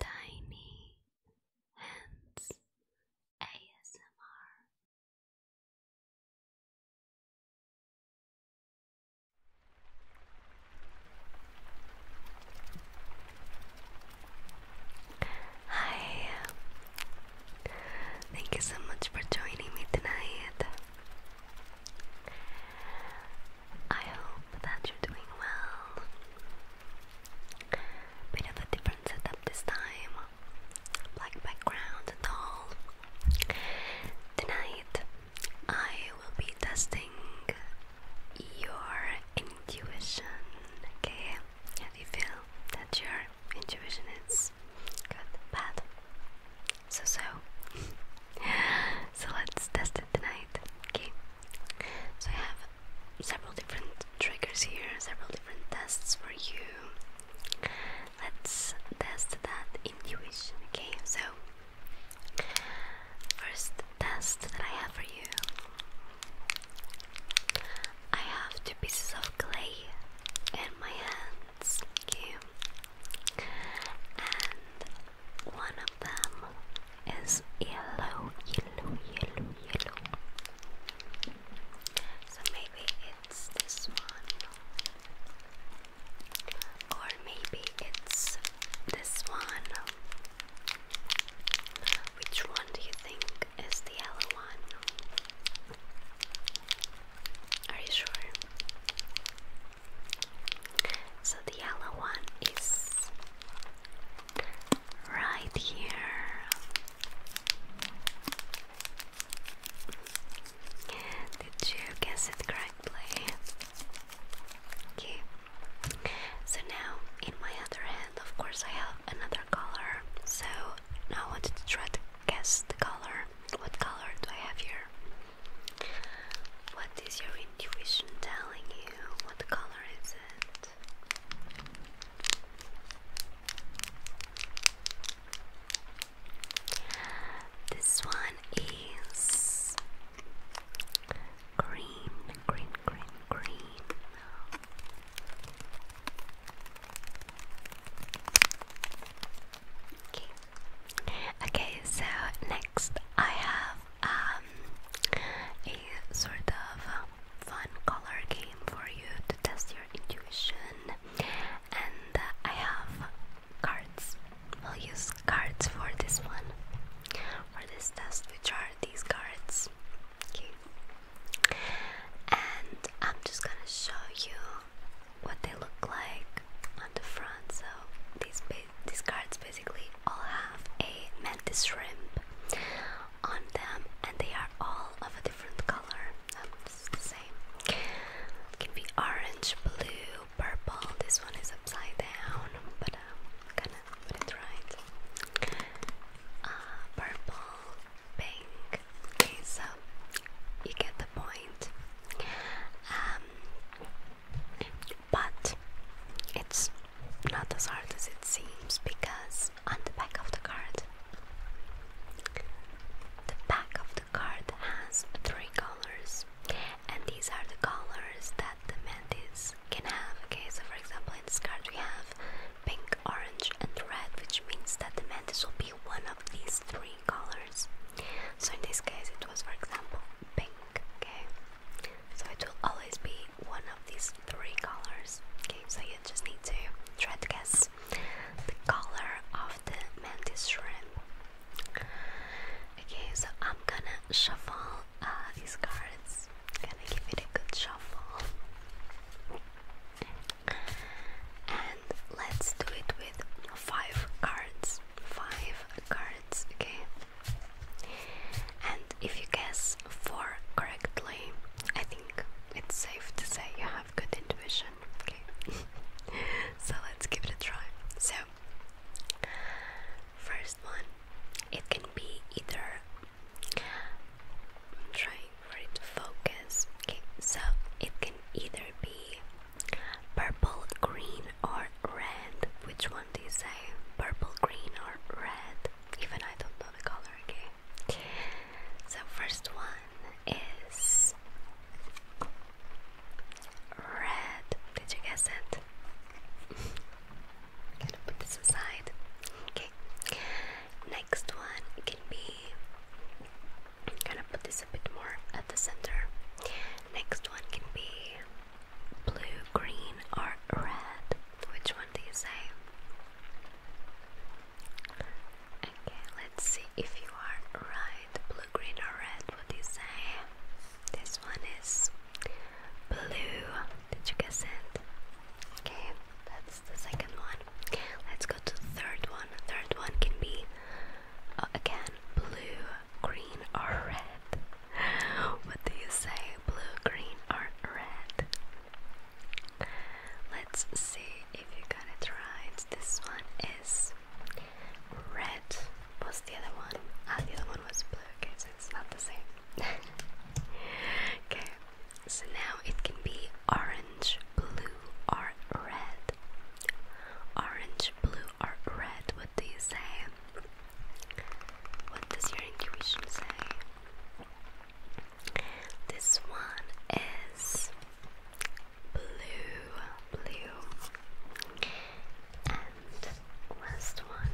Tiny Hands ASMR. Hi, thank you so much for joining me tonight. I hope that you're doing well. Bit of a different setup this time. Black background and all. Tonight I will be testing your intuition, okay? How do you feel that your intuition is good, bad? So so. so let's test it tonight, okay? So I have several different triggers here, several different tests for you. Let's test that intuition, okay? So, first test that I have for you I have two pieces of clay in my hands, okay? And one of them is yellow, yellow, yellow, yellow. So maybe it's this one, or maybe it's this one. Which one do you think is the yellow one? Are you sure? So the yellow one is right here. Did you guess it correctly? Okay. So now in my other hand, of course, I have another color. So I wanted to try to guess the color. What color do I have here? What is your intuition telling you? What color is it? This one is green, green, green, green. Okay. Okay, so next I have a sort of fun color game for you to test your intuition. And uh, I have cards. we will use cards for this one, for this test, which are these cards. And I'm just gonna show you what they look like on the front. So these these cards basically all have a mantis shrimp on them, and they are all of a different color. Um, the same. can be orange, blue, purple. This one is upside down, but I'm um, gonna put it right. Uh, purple, pink. Okay, so you get the point. Um, but it's not as hard as it seems because on the back of the card, the back of the card has three colors, and these are the colors that the mantis can have. Okay, so for example, in this card we have pink, orange, and red, which means that the mantis will be one of these three colors. So in this case, it was for example pink. Okay, so it will always be one of these three colors. Okay, so you just need to try to guess the color of the mantis shrimp. Okay, so I'm gonna shuffle uh, these cards. I'm gonna give it a good shuffle. And let's do it with five cards. Five cards, okay? And if you guess 4 correctly, I think it's safe to say you have good intuition. Okay, so let's give it a try. So, first one, it can be either. trying for it to focus. Okay, so it can either be purple, green, or red. Which one do you say? Purple, green, or red? even I don't know the color, okay? So, first one is red. Did you guess it? gonna put this aside. Okay. Next one can be. gonna put this a bit more at the center. Next one can be blue, green, or red? Which one do you say? Okay, let's see if you are right. Blue, green, or red? What do you say? This one is blue. Did you guess it? Okay, that's the second one. Let's go to the third one. The third one can be uh, again blue, green, or red. What do you say, blue, green, or red? Let's see if you got it right. This one is red. What's the other one? Ah, the other one was blue. Okay, so it's not the same. okay, so now it can be orange, blue, or red. Orange, blue, or red. What do you say? What does your intuition say? This one is blue, blue, and last one.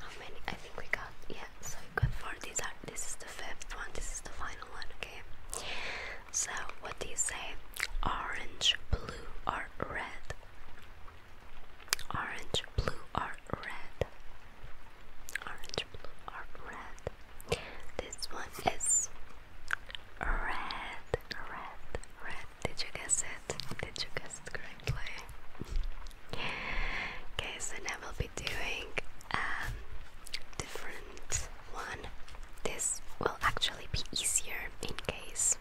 How many? I think we got yeah. So we got four. These are. This is the fifth one. This is the final one. Okay. So what do you say? Orange, blue, or red? Orange, blue, or red. Orange, blue, or red. This one is red, red, red. Did you guess it? Did you guess it correctly? okay, so now we'll be doing um different one. This will actually be easier in case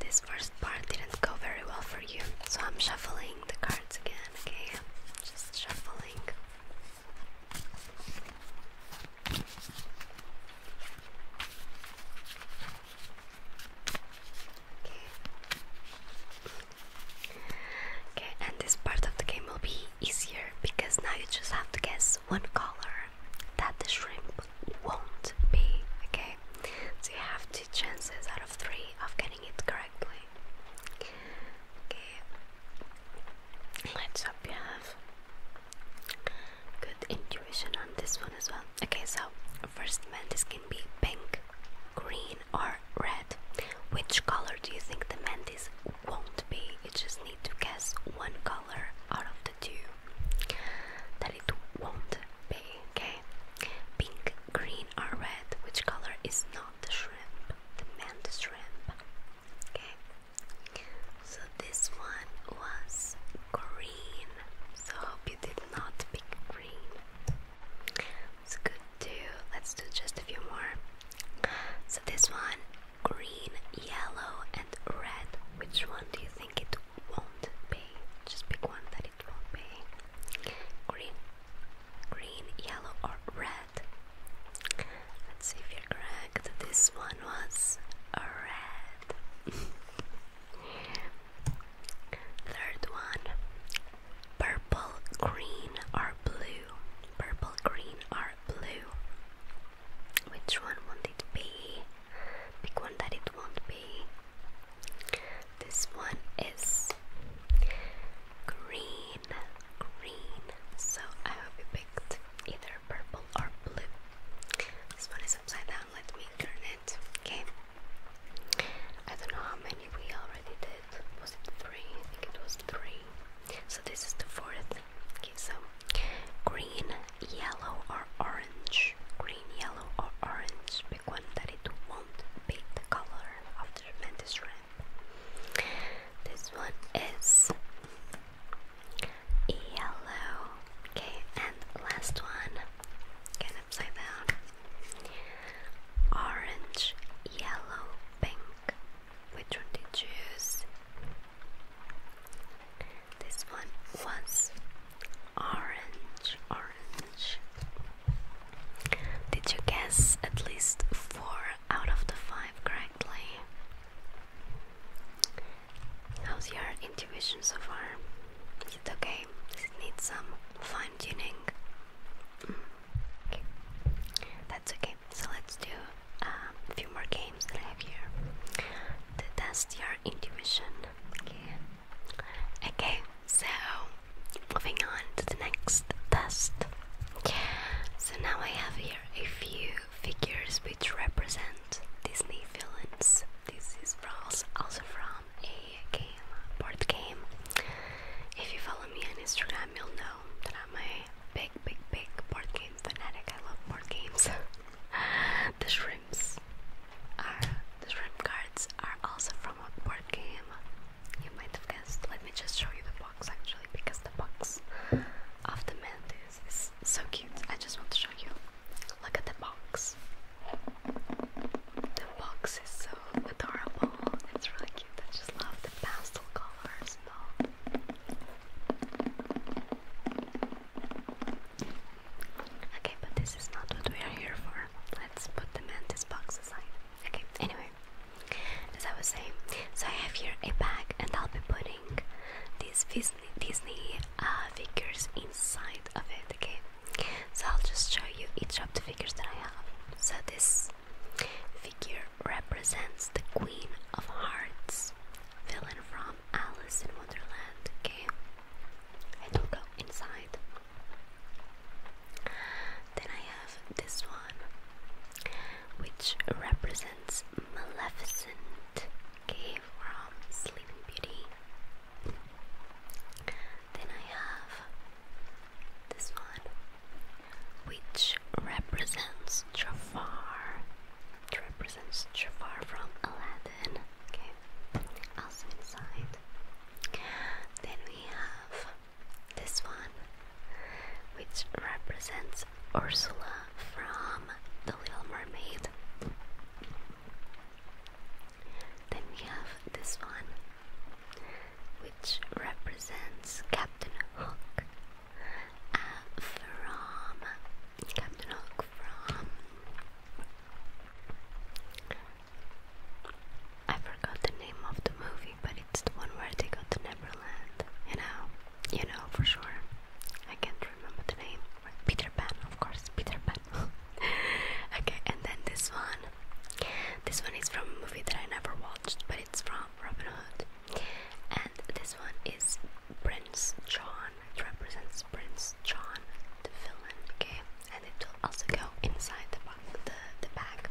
this first part didn't go very well for you, so I'm shuffling the cards again, okay? Just shuffling. Okay. and this part of the game will be easier because now you just have to guess one color that the shrimp won't be, okay? So you have two chances out of of getting it correctly. Okay, let's you have good intuition on this one as well. Okay, so first mantis can be pink, green, or red. Which color do you think the mantis won't be? You just need to guess one color out of the two that it won't be. Okay, Pink, green, or red. Which color is not the shrimp? The manta shrimp. Okay. So this one was green. So hope you did not pick green. It's good too. Let's do just a few more. So this one, green, yellow, and red. Which one do you think it won't pay. Just pick one that it won't pay. Green, green, yellow, or red. Let's see if you're correct. This one was red. Third one purple, green, or blue. Purple, green, or blue. Which one won't it be? Pick one that it won't be. This one is green, green. So I hope you picked either purple or blue. This one is upside down. Let me turn it. Okay. I don't know how many we already did. Was it three? I think it was three. So this is the fourth. Okay, so green, yellow, or orange. Green, yellow, or orange big one won't be the color of the tremendous rim. This one is yellow. Okay, and last one, again upside down. Orange, yellow, pink. Which one did you choose? This one was orange, orange. Did you guess at least four out of the five correctly? How's your intuition so far? Is it okay? Does it need some fine tuning? Mm. Okay. That's okay. So let's do um, a few more games that I have here to test your intuition. Okay. Okay, so moving on to the next test. So now I have here a few figures which represent Disney villains. This is also from a board game. If you follow me on Instagram, you'll know that I'm a big, big, big board game fanatic. I love board games. the uh, the shrimp cards are also from a board game. You might have guessed. Let me just show you the box actually because the box of the mantis is so cute. I just want to show you. Look at the box. The box is so adorable. It's really cute. I just love the pastel colors and all. Okay, but this is not what we are here for. Let's put the mantis box aside. Okay, anyway, as I was saying, so I have here a bag, and I'll be putting these Disney, Disney uh, figures inside of it. Okay, so I'll just show you each of the figures that I have. So this figure represents the Queen of Hearts, villain from Alice in Wonderland. Okay, and we'll go inside. Then I have this one, which represents Maleficent, okay, from Sleeping Beauty. Then I have this one, which represents Jafar. It represents Jafar from Aladdin. Okay also inside. Then we have this one, which represents Ursula from The Little Mermaid. Then we have this one, which represents Captain Hook uh, from Captain Hook from I forgot the name of the movie, but it's the one where they go to Neverland. You know, you know for sure. I can't remember the name. Peter Pan, of course, Peter Pan. okay, and then this one. This one is from a movie that I never watched, but it's from Robin Hood. And this one is Prince John. It represents Prince John, the villain. Okay, and it will also go inside the, the, the bag.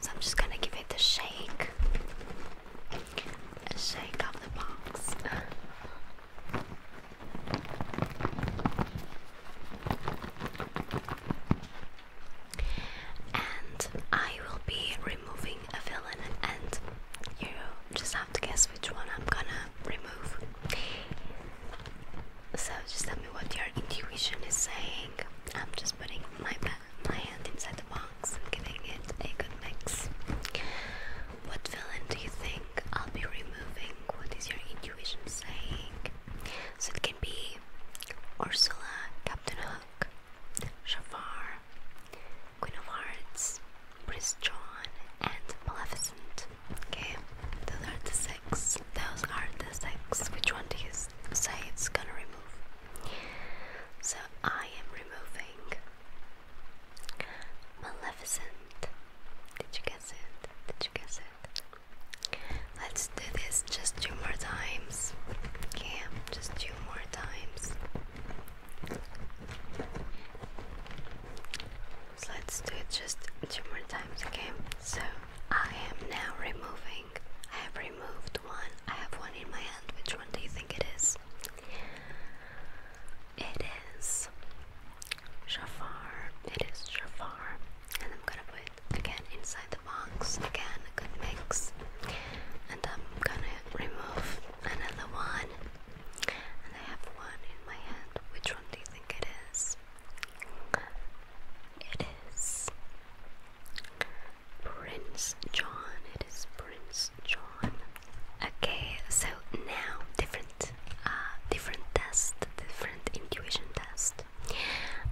So I'm just gonna give it a shake. A shake of the box. and I will be removing a villain and you just have to guess which one I'm gonna remove. So just tell me what your intuition is saying. I'm just putting my my hand inside the box and giving it a good mix. What villain do you think I'll be removing? What is your intuition saying? So it can be Ursula, Captain Hook, Shafar, Queen of Hearts, Prince John, and Maleficent. Okay, those are the six. Those are the six. Which one do you say it's gonna remove? So I am removing Maleficent. Did you guess it? Did you guess it? Let's do this just two more times. Okay, just two more times. So let's do it just two more times, again. So I am now removing. I have removed one. I have one in my hand. Which one do you think it is? It is Jafar. It is Jafar. And I'm gonna put again inside the box. Again, a good mix. And I'm gonna remove another one. And I have one in my hand. Which one do you think it is? It is Prince John. It is Prince John. Okay, so now different, uh, different test, different intuition test.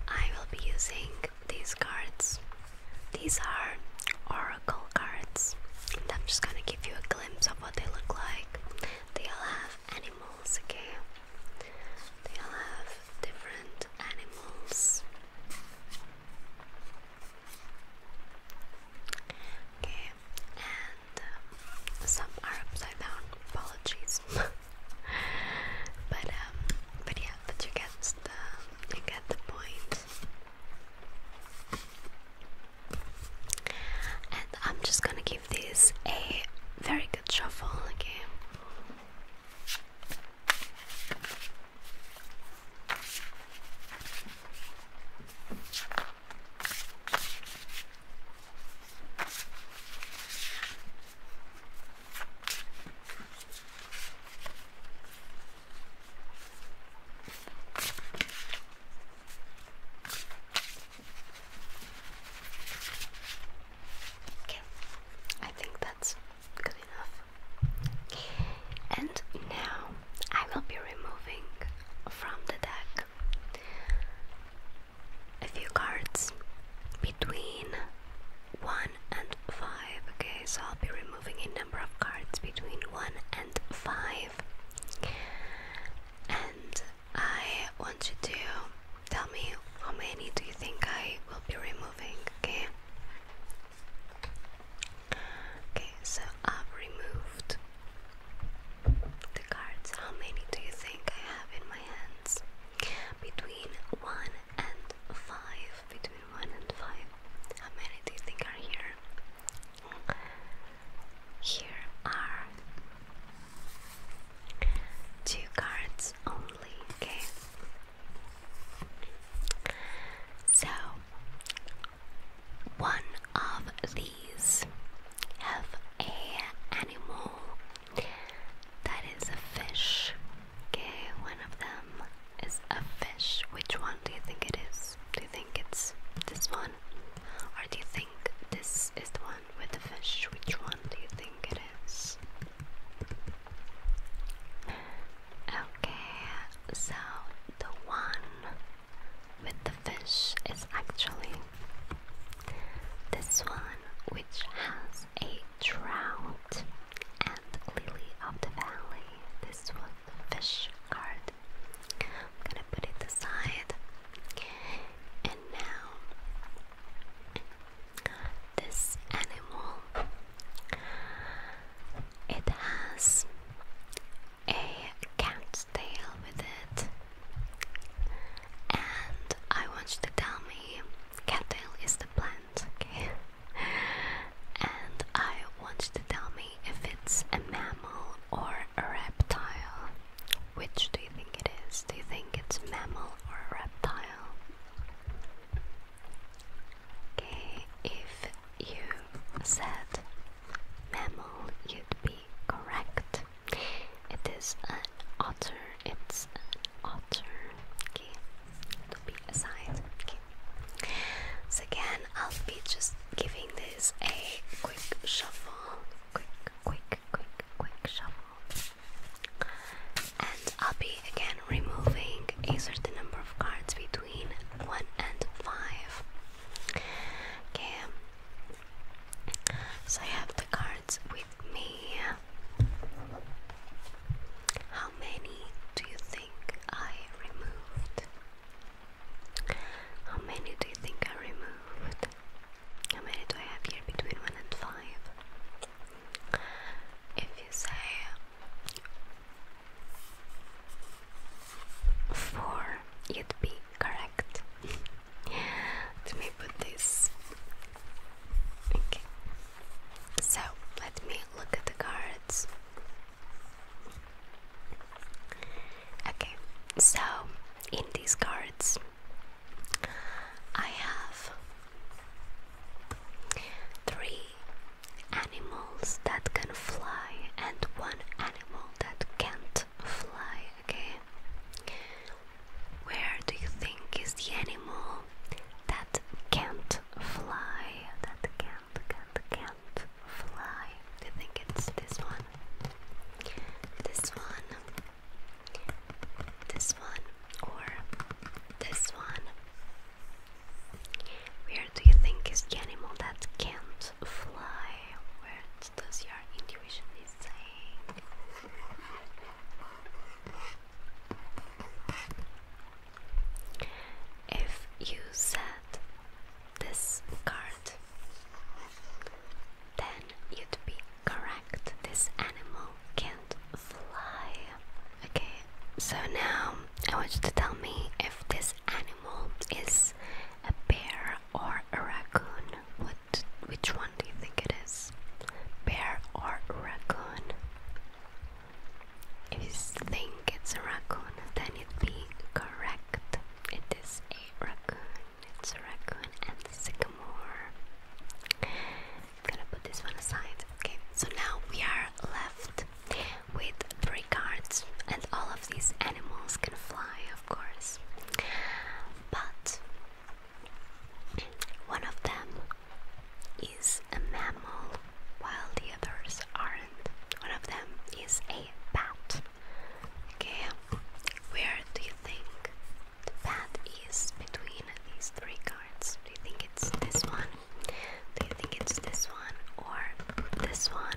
I will be using these cards. These are oracle cards, and I'm just gonna give you a glimpse of what they look like. They all have animals, okay? They all have different animals. Okay, and uh, some are upside down. Apologies, but um, but yeah, but you get the you get the point. And I'm just gonna give this a very could shuffle the game. Okay, I think that's good enough. And now I will be removing from the deck a few cards between 1 and 5. Okay, so I'll be removing a number of cards between 1 and 5. And I want you to tell me how many do you think I will be removing, okay? Okay, so I've removed the cards. How many do you think I have in my hands? Between 1 and 5. Between 1 and 5. How many do you think are here? Here are Two cards only, okay? So, one of these has a animal that is a fish. Okay, one of them is a fish. Which one do you think it is? Do you think it's this one? Or do you think this is the one? with the fish? Which one do you think it is? Okay, so the one with the fish is actually this one, which has a trout and the lily of the valley. This one, fish card. I'm gonna put it aside, and now this animal. It has a cat tail with it, and I want you to tell me cattail is the plant, okay? And I want you to tell me if it's a mammal or a reptile. Which do you think it is? Do you think it's a mammal or a reptile? Okay, if you said mammal, you'd be correct. It is an otter. It's an otter. Okay, to be aside. Okay. So again, I'll be just giving this a quick shuffle. Quick, quick quick, quick, shuffle. And I'll be again removing a certain number of cards between 1 and 5. Okay. So I have the cards with me. How many do you think I removed? How many do you think I removed? How many do I have here? Between 1 and 5. If you say 4, you'd be correct. Let me put this. Okay. So, let me look at the cards. Okay, so in these cards, I have three animals that can fly and one animal that can't fly, okay? Where do you think is the animal that can't fly? That can't, can't, can't fly. Do you think it's this one? This one? this one or this one? Where do you think is the animal that can't fly? Where does your intuition is saying? If you said this card, then you'd be Correct. This animal can't fly. Okay, so now I want you to tell me if this animal is a bear or a raccoon. What which one do you think it is? Bear or raccoon? If you think it's a raccoon, then it's correct. It is a raccoon. It's a raccoon and sycamore gonna put this one aside. Okay, so now we are left with three cards, and all of these animals can fly, of course. But one of them is a mammal, while the others aren't. One of them is a bat. Okay, where do you think the is between these three cards. Do you think it's this one? Do you think it's this one or this one?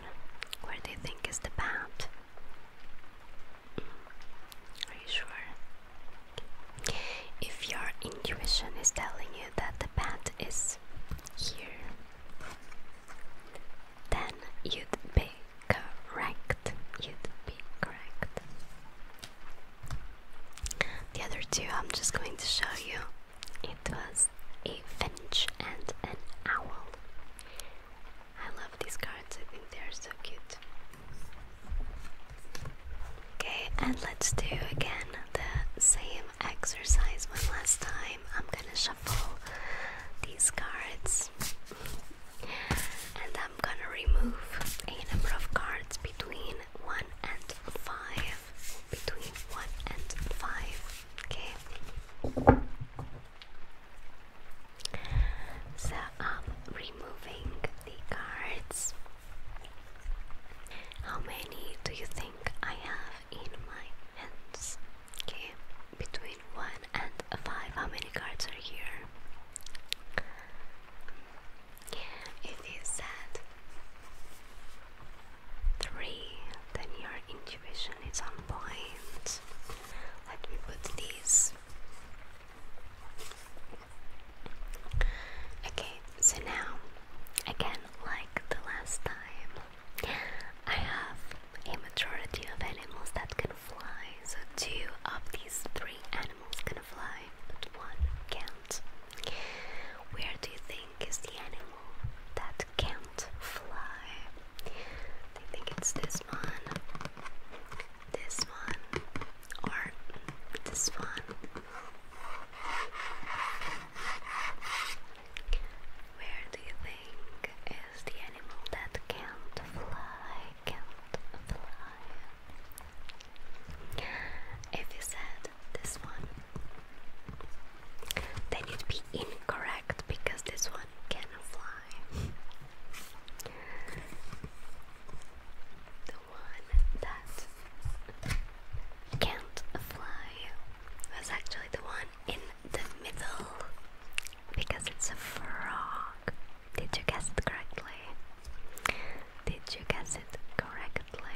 Where do you think is the path? Mm. Are you sure? If your intuition is telling you that the path is here, then you'd be correct. You'd be correct. The other two I'm just going to show you. It was a finch and an owl. I love these cards, I think they are so cute. Okay, and let's do again the same exercise one last time. I'm gonna shuffle these cards and i I'm gonna remove a number of cards between 1 and 5. Between 1 and 5. Okay? So I'm um, removing the cards. How many do you think I have in my hands? Okay, between 1 and 5, how many cards are here? If you said three, then your intuition is on point. Let me put these. Okay, so now, again, like the last time, I have a majority of animals that can fly, so two of these three animals can fly, but one can't. Where do you think is the animal that can't fly? I think it's this one, this one, or this one. Where do you think is the animal that can't fly? Can't fly. If you said this one, then you'd be incorrect because this one can fly. The one that can't fly was actually the one in the middle because it's a frog. Did you guess it correctly? Did you guess it correctly?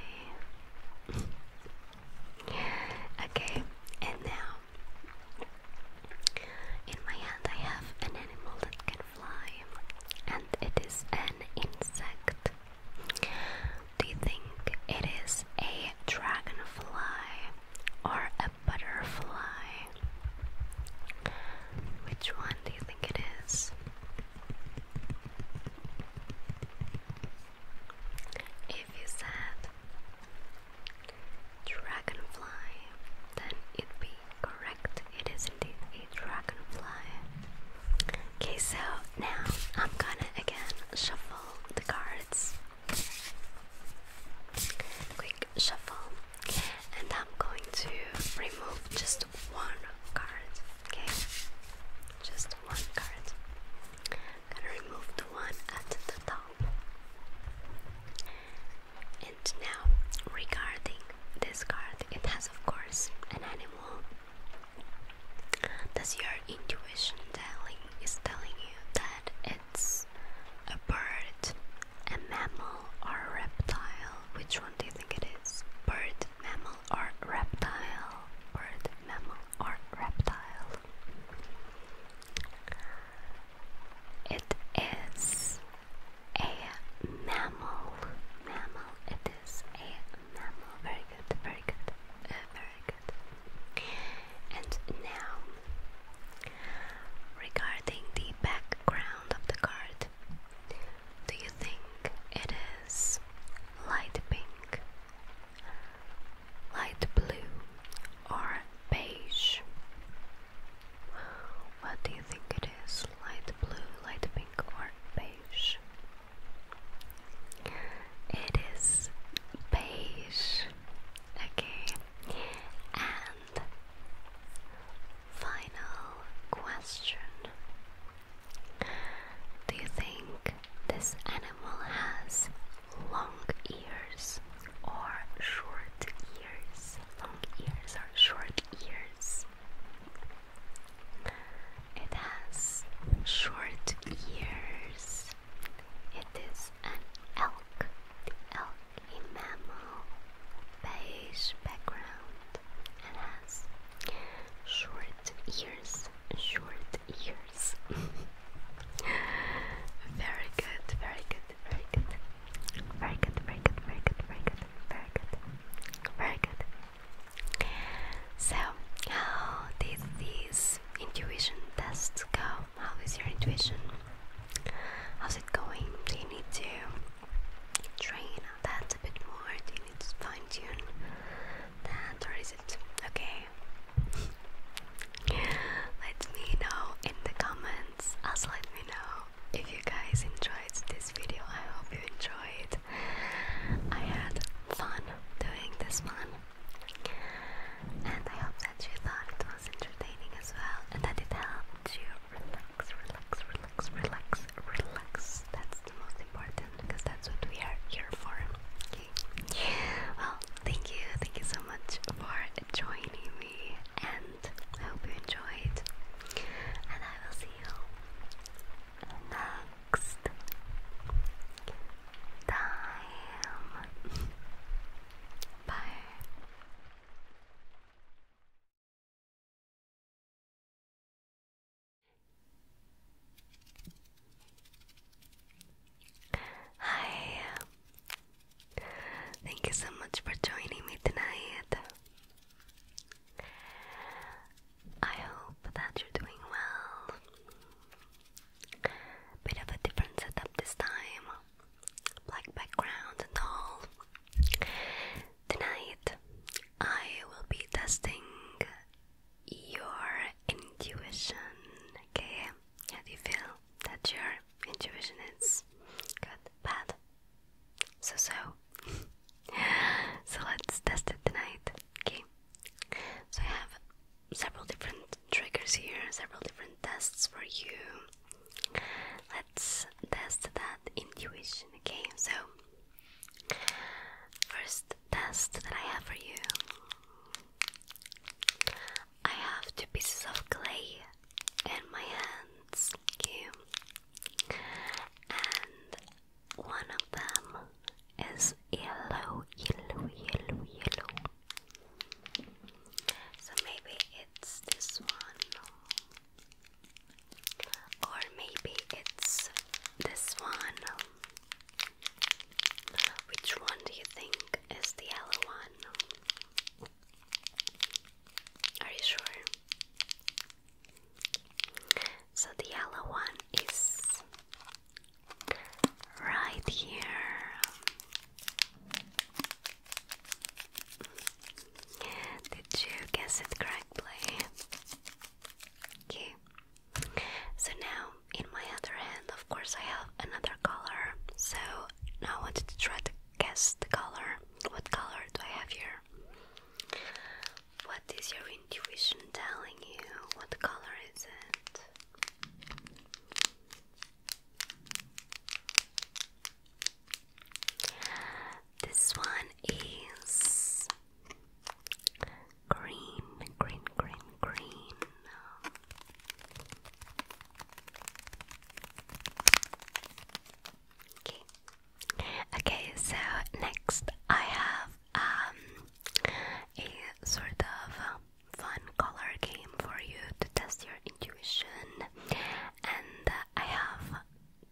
okay, and now in my hand I have an animal that can fly, and it is an insect. Do you think it is a dragonfly or a butterfly? Which one do you think it is? If you said dragonfly, then it be correct. It is indeed a dragonfly. Okay, so now I'm gonna again shuffle the cards. Quick shuffle, and I'm going to remove just one card, okay? Just one card. gonna remove the one at the top. And now, regarding this card, it has, of course, an animal. Does your intuition telling is telling you that it's a bird a mammal or reptile? Which one do you think it is? Bird, mammal or reptile? Bird, mammal or reptile? It is a mammal. Mammal. It is a mammal. Very good. Very good. Uh, very good. And now, regarding the background of the card, do you think it is light pink, light blue, or beige? What do you think it is? Light blue, light pink, or beige? It is beige. Okay. And Final question Do you think this animal has long ears or short ears? Long ears or short ears? It has short ears. It is an elk. The elk, a mammal, beige background and has short ears, short ears. very good, very good, very good, very good, very good, very good, very good, very good, very good. So, how did this intuition test go? How is your intuition? How's it going? Do you need to train that a bit more. Do you need fine tune that, or is it okay? let me know in the comments. Also, let me know if you guys enjoyed this video. I hope you enjoyed. I had fun doing this one, and I hope that you thought it was entertaining as well, and that it helped you relax, relax, relax, relax, relax. That's the most important because that's what we are here for. Okay. Well, thank you, thank you so much for joining me, and I hope you enjoyed. And I will see you next time. Bye. Hi, thank you so much for joining me tonight. I hope that you're doing well. Bit of a different setup this time, black background and all. Tonight, I will be testing your intuition. Okay, how do you feel that your intuition is good, bad, so so? so let's test it tonight. Okay, so I have several different triggers here, several different tests for you that's that's that intuition okay so first test that I have for you I have two pieces of clay in my hands you, and one of them is yellow yellow yellow yellow so maybe it's this one or maybe it's this one. Which one do you think is the yellow one? Are you sure? So the yellow one is right here. Did you guess it correctly? Okay. So now in my other hand, of course, I have another color. So now I wanted to try to guess the color. What color do I have here? What is your intuition telling you? What color is it? This one is green, green, green, green. Okay. so next I have um, a sort of um, fun color game for you to test your intuition and uh, I have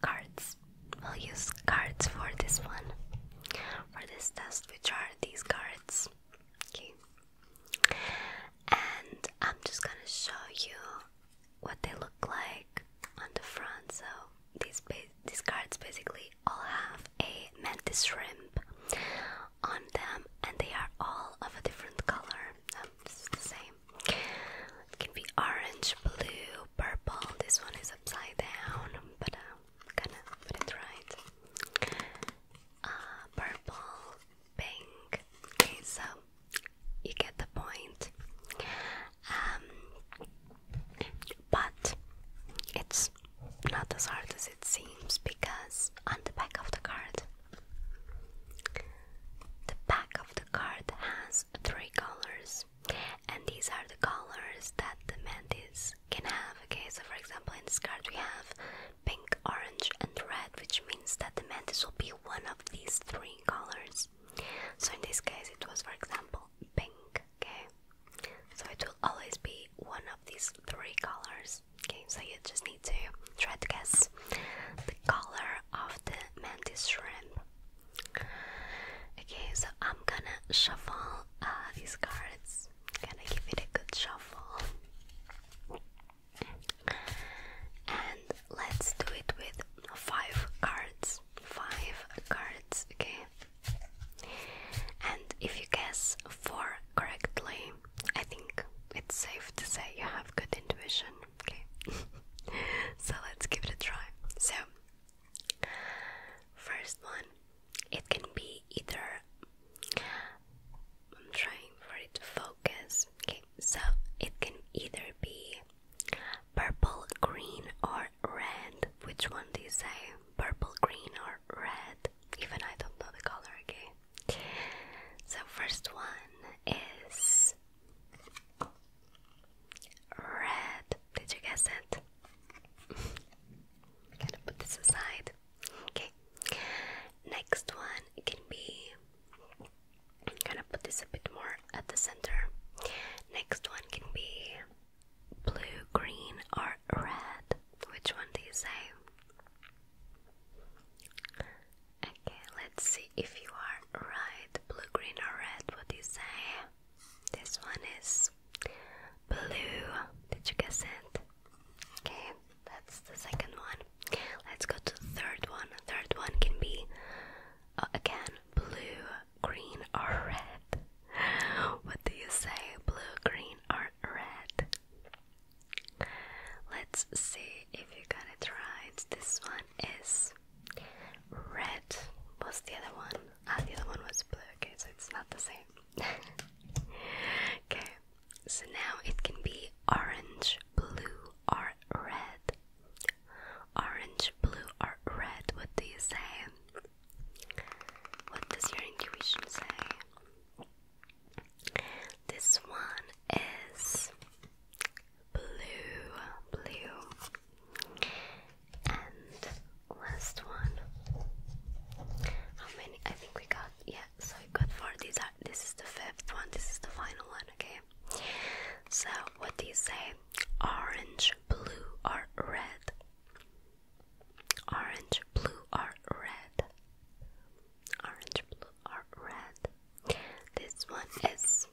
cards. We'll use cards for this one. For this test, which are these cards. Okay. And I'm just gonna show you what they look like on the front. So these these cards basically all have a mantis shrimp on them, and they are all of a different color. Um, this the same. It can be orange, blue, purple. This one is upside down, but I'm uh, gonna put it right. Uh, purple, pink. Okay, so you get the point. Um, but it's not as hard as it seems because on the back of the card, the back of the card has three colors and these are the colors that the mantis can have okay so for example in this card we have pink orange and red which means that the mantis will be one of these three colors so in this case it was for example pink okay so it will always be one of these three colors okay so you just need to try to guess the color of the mantis shrimp Okay, so I'm gonna shuffle uh, these cards. i gonna give it a good shuffle. And let's do it with five cards. Five cards, okay? And if you guess four correctly, I think it's safe to say you have good intuition, okay? so let's give it a try. So, First one, it can be either. I'm trying for it to focus. Okay, so it can either be purple, green, or red. Which one do you say? Purple, green, or red? Even I don't know the color, okay? So, first one is Red. Did you guess it? gonna put this aside. Okay. Next one can be. gonna put this a bit more at the center. Next one can be blue, green, or red. Which one do you say? Okay, let's see if you are right. Blue, green, or red? What do you say? This one is blue. Did you guess it? Okay, that's the second one. Let's go to third one. Third one can be uh, again blue, green, or red. What do you say? Blue, green, or red? Let's see if you got it right. This one is Red was the other one. Ah, the other one was blue. Okay, so it's not the same. okay, so now it can be orange, blue, or red. Orange, blue, or red. What do you say? What does your intuition say? This one is blue, blue. And last one. How many? I think we got yeah. So we got four. These are. This is the fifth one. This is the final one. Okay. So what do you say? Orange, blue, or red? Orange, blue, or red? Orange, blue, or red? This one is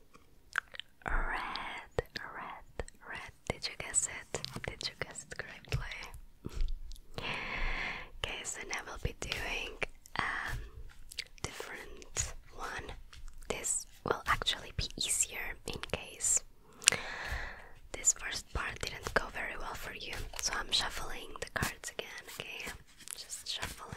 Red, red, red. Did you guess it? Did you guess it correctly? okay, so now we'll be doing um, different one. This will actually be easier in case this first part didn't go very well for you. So I'm shuffling the cards again, okay? Just shuffling.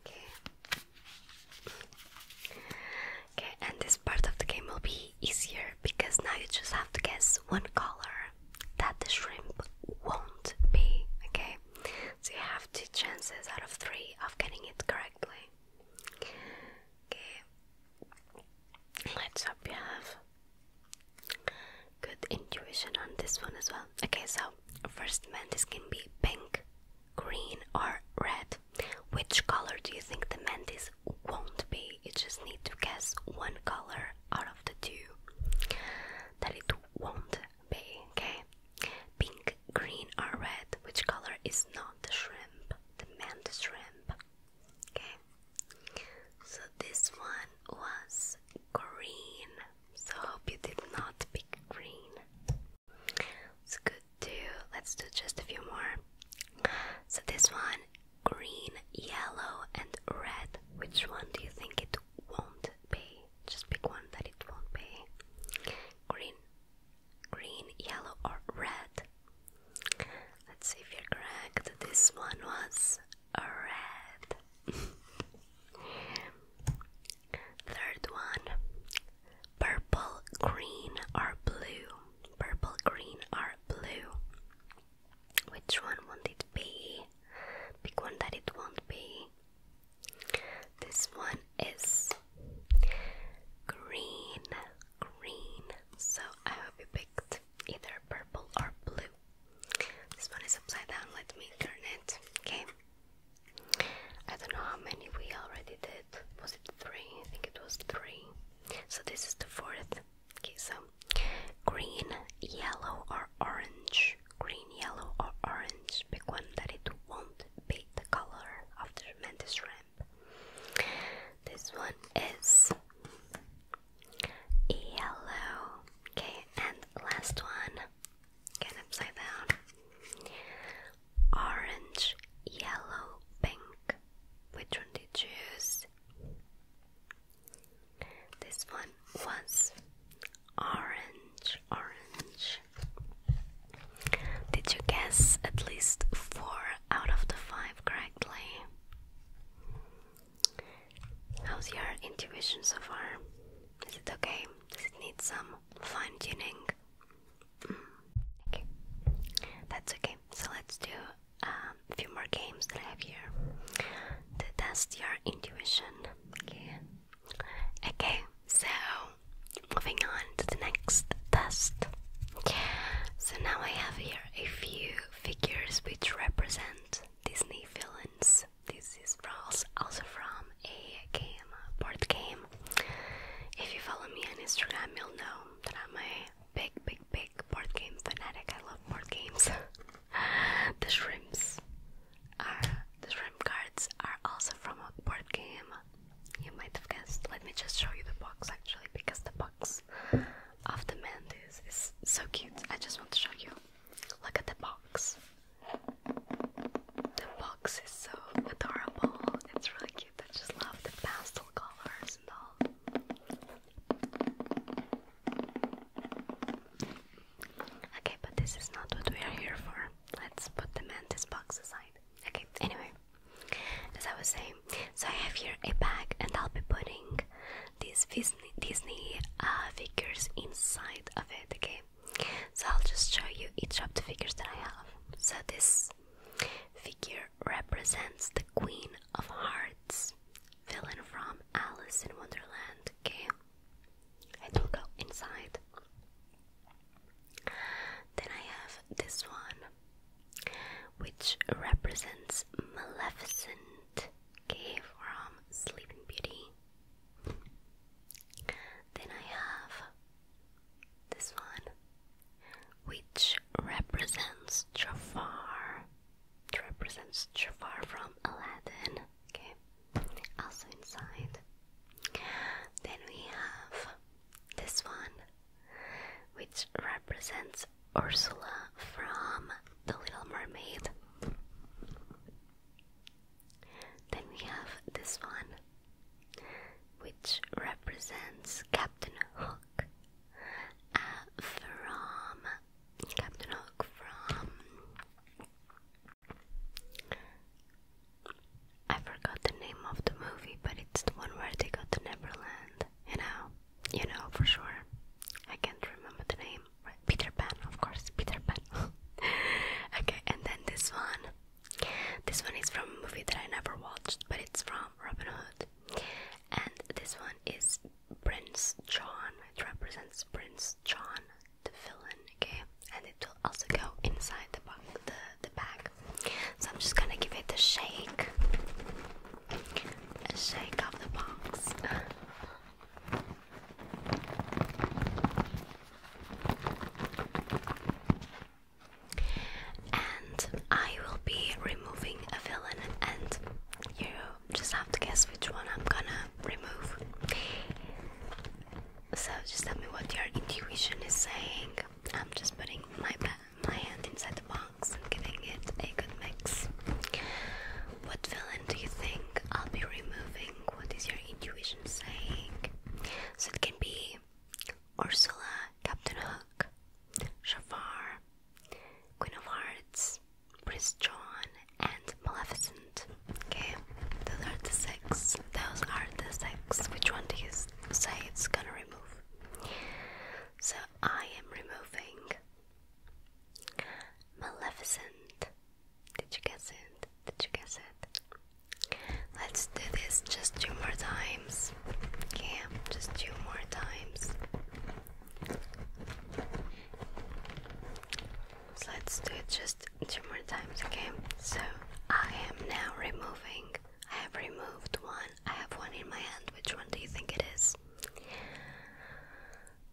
Okay. Okay, and this part of the game will be easier because now you just have to guess one color that the shrimp won't be. Okay, so you have two chances out of three of getting it correctly. Okay. Let's hope you have good intuition on this one as well. Okay, so first mantis can be pink, green, or red. Which color do you think the mantis won't be? You just need to guess one color out of the two that it won't be. Okay, pink, green, or red. Which color is not the shrimp? The mantis shrimp. Okay, so this one was green. So hope you did not pick green. It's good too. Let's do just a few more. So this one, green, yellow, and red. Which one do you think it won't be? Just pick one that it won't be. Green, green, yellow, or red. Let's see if you're correct. This one was red. Third one purple, green, or blue. Purple, green, or blue. Which one won't it be? Pick one that it won't be. This one is green, green. So I hope you picked either purple or blue. This one is upside down. Let me turn it. Okay. I don't know how many we already did. Was it three? I think it was three. So this is the fourth. Okay, so green, yellow, or orange. Green, yellow, or orange. Pick one that it won't be the color of the tremendous ramp. This one is Yellow. Okay, and last one. Again, upside down. Orange, yellow, pink. Which one do you choose? This one was orange, orange. Did you guess at least four out of the five correctly? How's your intuition so far? Is it okay? Does it need some fine tuning? Mm. Okay, that's okay. So let's do um, a few more games that I have here to test your intuition. Okay. Okay. So moving on to the next test. So now I have here a few figures which represent Disney villains. This is also from a game, board game. If you follow me on Instagram, you'll know that I'm a big, big, big board game fanatic. I love board games. the shrimps are the shrimp cards are also from a board game. You might have guessed. Let me just show you the box actually, because the box of the mantis is so cute. I just want to show you. Look at the box. The box is so adorable. It's really cute. I just love the pastel colors and all. Okay, but this is not what we are here for. Let's put the mantis box aside. Okay, anyway, as I was saying, so I have here a bag and I'll be putting these Disney, Disney uh, figures inside of it. Okay, so I'll just show you each of the figures that I have. So this figure represents the Queen of Hearts, villain from Alice in Wonderland. Okay, it will go inside. Then I have this one, which represents Maleficent, Okay, from Sleeping Beauty. Then I have this one, which represents Jafar. represents Jafar from Aladdin. Okay, also inside. Then we have this one, which represents Ursula from The Little Mermaid. Then we have this one, which represents Captain Hook uh, from Captain Hook from I forgot the name of the movie, but it's the one where they go to Neverland, you know you know for sure. I can't remember the name. Right? Peter Pan, of course, Peter Pan. okay, and then this one. This one is from a movie that I never watched, but it's from Robin Hood. And this one is Prince John. It represents Prince John, the villain. Okay, and it will also go inside the box, the the bag. So I'm just gonna give it a shake, a shake of the box. And I will be removing a villain, and you just have to guess which one I'm gonna remove. So just tell me what your intuition is saying. I'm just putting my my hand inside the box and giving it a good mix. What villain? do you think I'll be removing what is your intuition saying? So it can be Ursula, Captain Hook, Shafar, Queen of Hearts, Prince John, and Maleficent. Okay, those are the six. Those are the six. Which one do you say it's gonna remove? So I am removing Maleficent. Did you guess it? Did you guess it? Let's do this just two more times. Okay, just two more times. So let's do it just two more times, okay? So I am now removing. I have removed one. I have one in my hand. Which one do you think it is?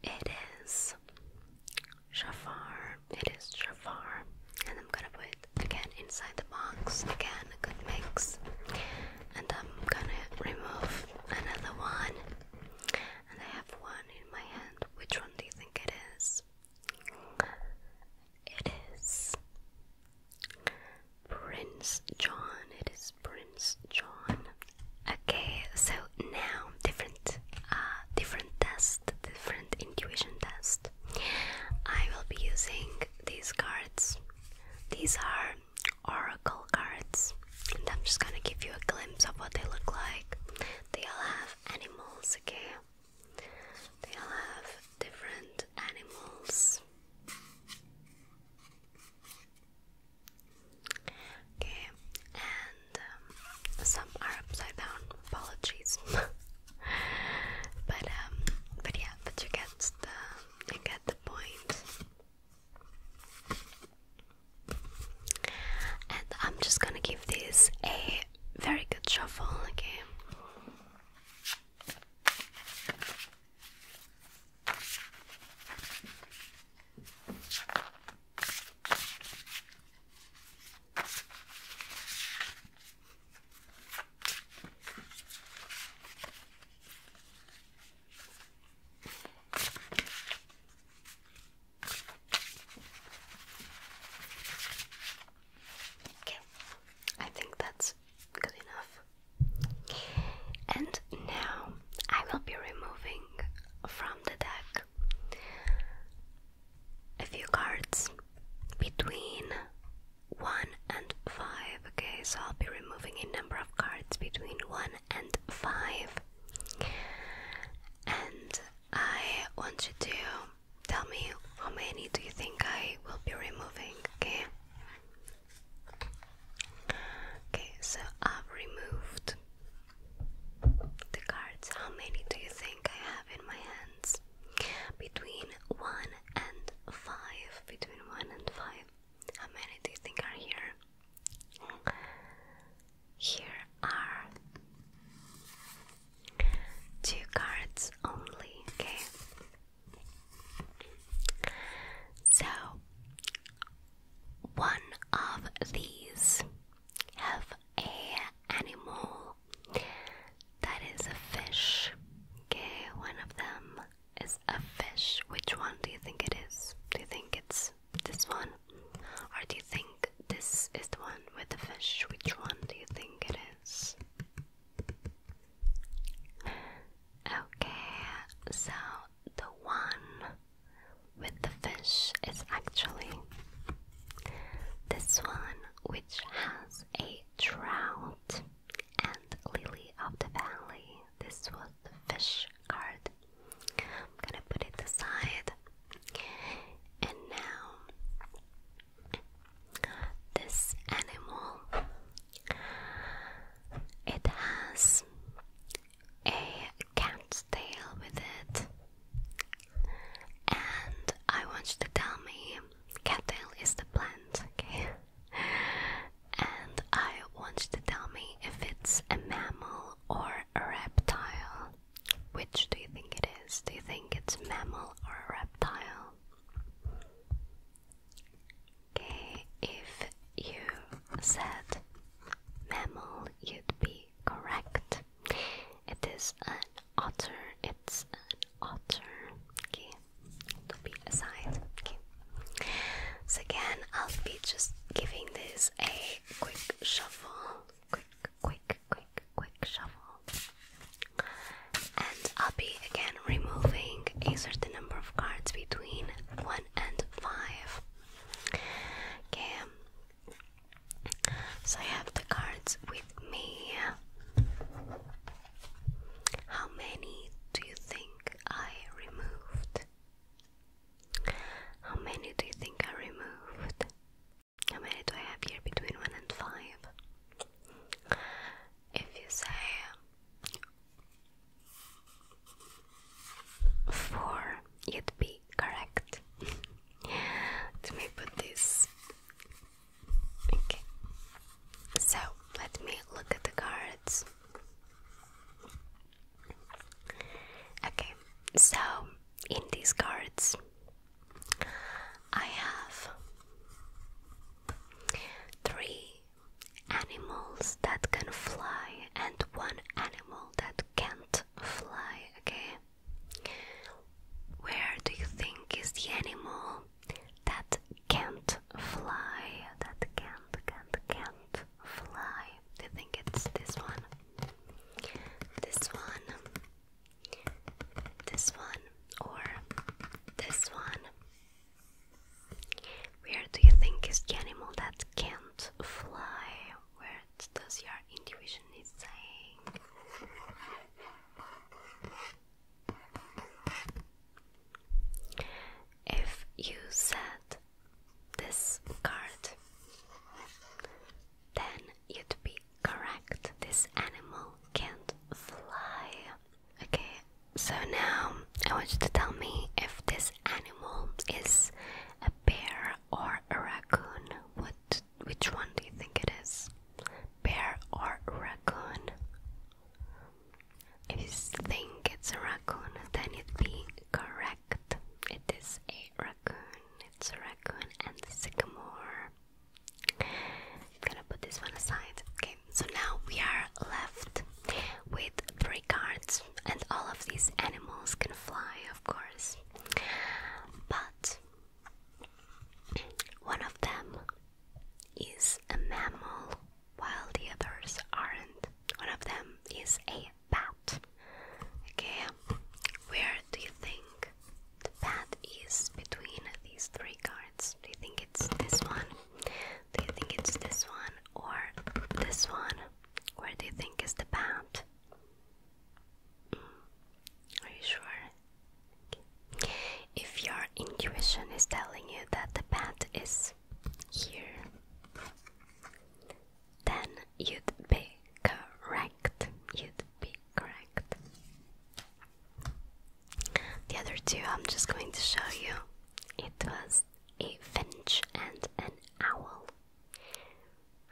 It is Jafar. It is Jafar. And I'm gonna put again inside the box. Again, a good mix. And I'm gonna remove another one. And I have one in my hand. Which one do you think it is? It is Prince John. It is Prince John. Okay, so now different, uh, different test, different intuition test. I will be using these cards. These are oracle cards, and I'm just gonna give you a glimpse of what they look like. They all have animals, okay? They all have different animals. Okay, and um, some are upside down. Apologies, but um, but yeah, but you get the you get the point. And I'm just gonna give this a very good shuffle. Okay. Okay, I think that's good enough. And now I will be removing from the deck a few cards between 1 and 5. Okay, so I'll be removing a number of cards between 1 and 5. And I want you to tell me how many do you think I will be removing, okay? Okay, so I've removed the cards. How many do you think I have in my hands? Between 1 and 5. Between 1 and 5. How many do you think are here? Here are two cards only, okay? So, one of these have a animal that is a fish. Okay, one of them is a fish. Which one do you think it is? Do you think it's this one? Or do you think this is the one with the fish? Which one do you think it is? Okay, so the one with the fish is actually this one, which has a trout and lily of the valley. This was the fish card. I'm gonna put it aside. And now, this animal. It has a cat's tail with it. And I want you to tell me cattail is the plant, okay? And I want you to tell me if it's a mammal or a reptile. Which do you think it is? Do you think it's mammal or a reptile? Okay, if you said mammal, you'd be correct. It is an otter. It's an otter. Okay, to be aside. Okay. So again, I'll be just giving this a quick shuffle. Quick, quick, quick, quick shuffle. And I'll be again removing a certain number of cards between 1 and 5. Okay, so I have the cards with me. How many do you think I removed? How many do you think I removed? How many do I have here between 1 and 5? If you say four, you'd be correct. let me put this. Okay. So let me look at the cards. Okay, so in these cards, I have three animals that can fly and one animal that can't fly, okay? Where do you think is the animal that can't fly? That can't, can't, can't fly. Do you think it's this one? This one? This one? Or this one? Where do you think is the animal that can't fly? what does your intuition is saying? If you said this card, then you'd be correct. This animal can't fly. Okay, so now I want you to tell me if this animal is a bear or a raccoon? What? Which one do you think it is? Bear or raccoon? If you think it's a raccoon, then it's would correct. It is a raccoon. It's a raccoon and sycamore. gonna put this one aside. Okay, so now we are left with three cards, and all of these animals can fly of course. But one of them is a mammal while the others aren't. One of them is a bat. Okay, where do you think bat is between these three cards? Do you think it's this one? Do you think it's this one or this one? Where do you think is the bat? Are you sure? If your intuition is telling you that the bat is here, then you'd be correct. You'd be correct. The other two I'm just going to show you. It was a finch and an owl.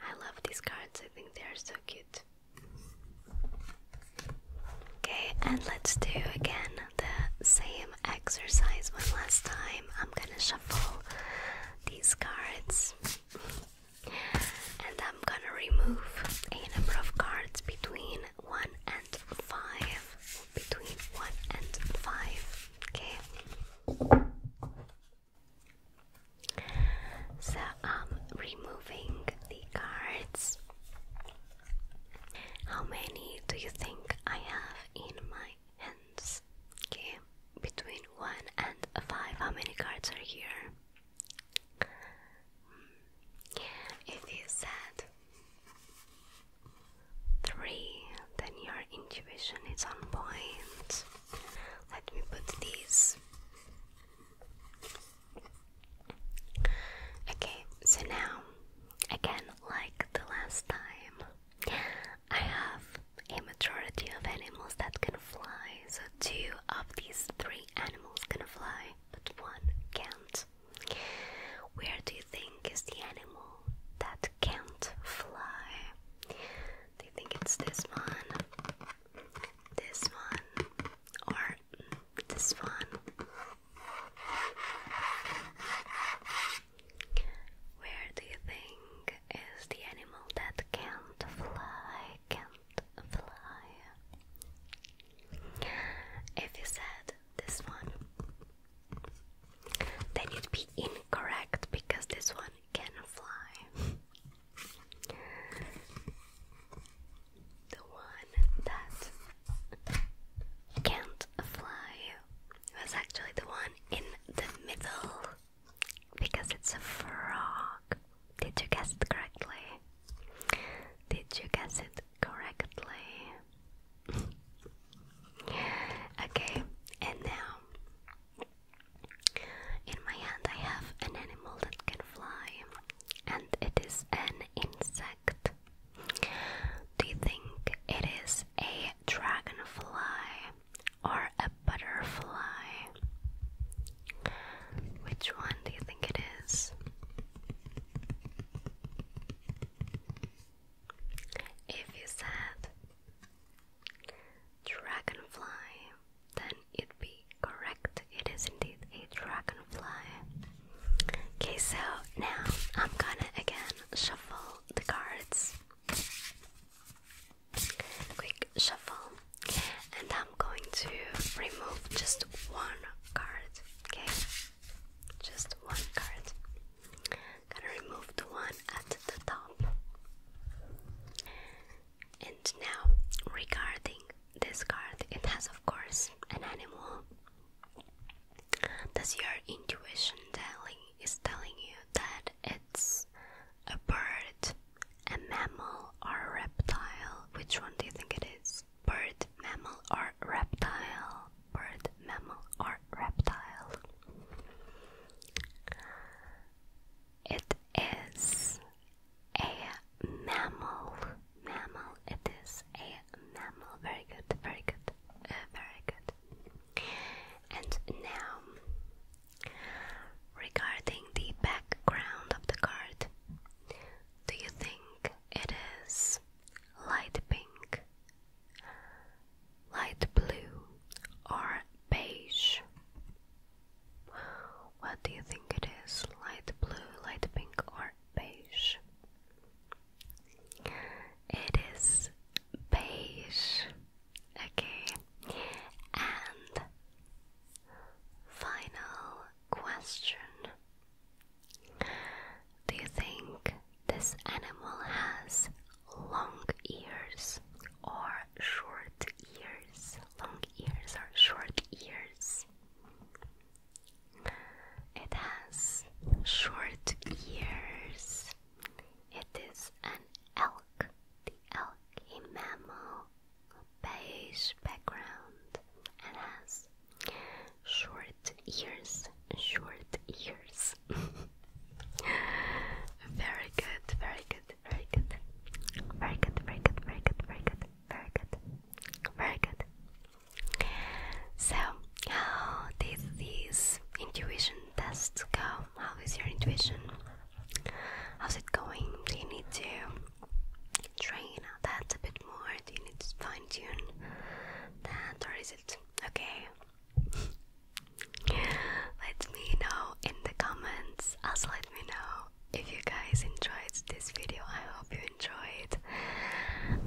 I love these cards, I think they are so cute. Okay, and let's do again the same exercise one last time. I'm gonna shuffle these cards and I'm gonna remove a number of cards between 1 and 5. Between 1 and 5. Okay. So I'm um, removing the cards. How many do you think I have in my hands? Okay, between 1 and 5, how many cards are here? It is that 3, then your intuition is on point. Let me put these. Okay, so now, again, like the last time, I have a majority of animals that can fly. So, two of these three animals can fly, but one can't. Where do you think is the animal that can't fly? Do think it's this one? This one? Or this one? Where do you think is the animal that can't fly? Can't fly. If you said this one, then you'd be incorrect because this one can fly. the one that can't fly was actually the one in the middle because it's a frog. Did you guess it correctly? Did you guess it correctly? okay, and now in my hand, I have an animal that can fly, and it is an insect. Do you think it is a dragonfly or a butterfly? Which one do you think it is? If you said Dragonfly, then it would be correct. It is indeed a dragonfly. Okay, so now I'm gonna again shuffle the cards. Quick shuffle, and I'm going to remove just one card. Okay, just one card. Gonna remove the one at the top. And now, regarding this card, it has, of course, an animal. Does your intuition telling is telling you that it's a bird, a mammal, or a reptile? Which one do you think it is? Bird, mammal, or reptile? Bird, mammal, or reptile? It is a mammal. Mammal. It is a mammal. Very good. Very good. Uh, very good. And now, regarding the background of the card, do you think it is light pink, light blue or beige. What do you think it is? Light blue, light pink, or beige? It is beige. Okay. And final question. Do you think this animal has long ears or short ears. Long ears or short ears. It has short ears. It is an elk. The elk, a mammal, beige background, and has short ears. Short ears. very good, very good very good, very good, very good, very good, very good, very good, very good. So, how did this intuition test go? How is your intuition? How's it going? Do you need to train that a bit more? Do you need to fine tune that, or is it okay? Let me know in the comments. Also, let me know if you guys enjoyed this video. I hope you enjoyed.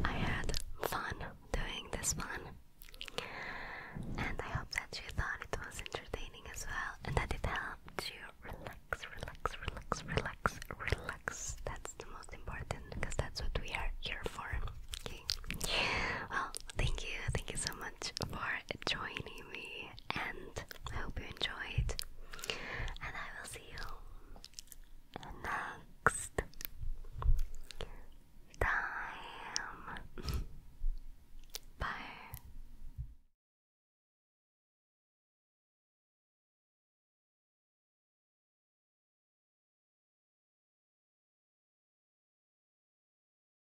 I had fun doing this one, and I hope that you thought it was entertaining as well, and that it helped you relax, relax, relax, relax, relax. That's the most important because that's what we are here for. Okay. Well, thank you, thank you so much for joining me and I hope you enjoyed. And I will see you next time. Bye.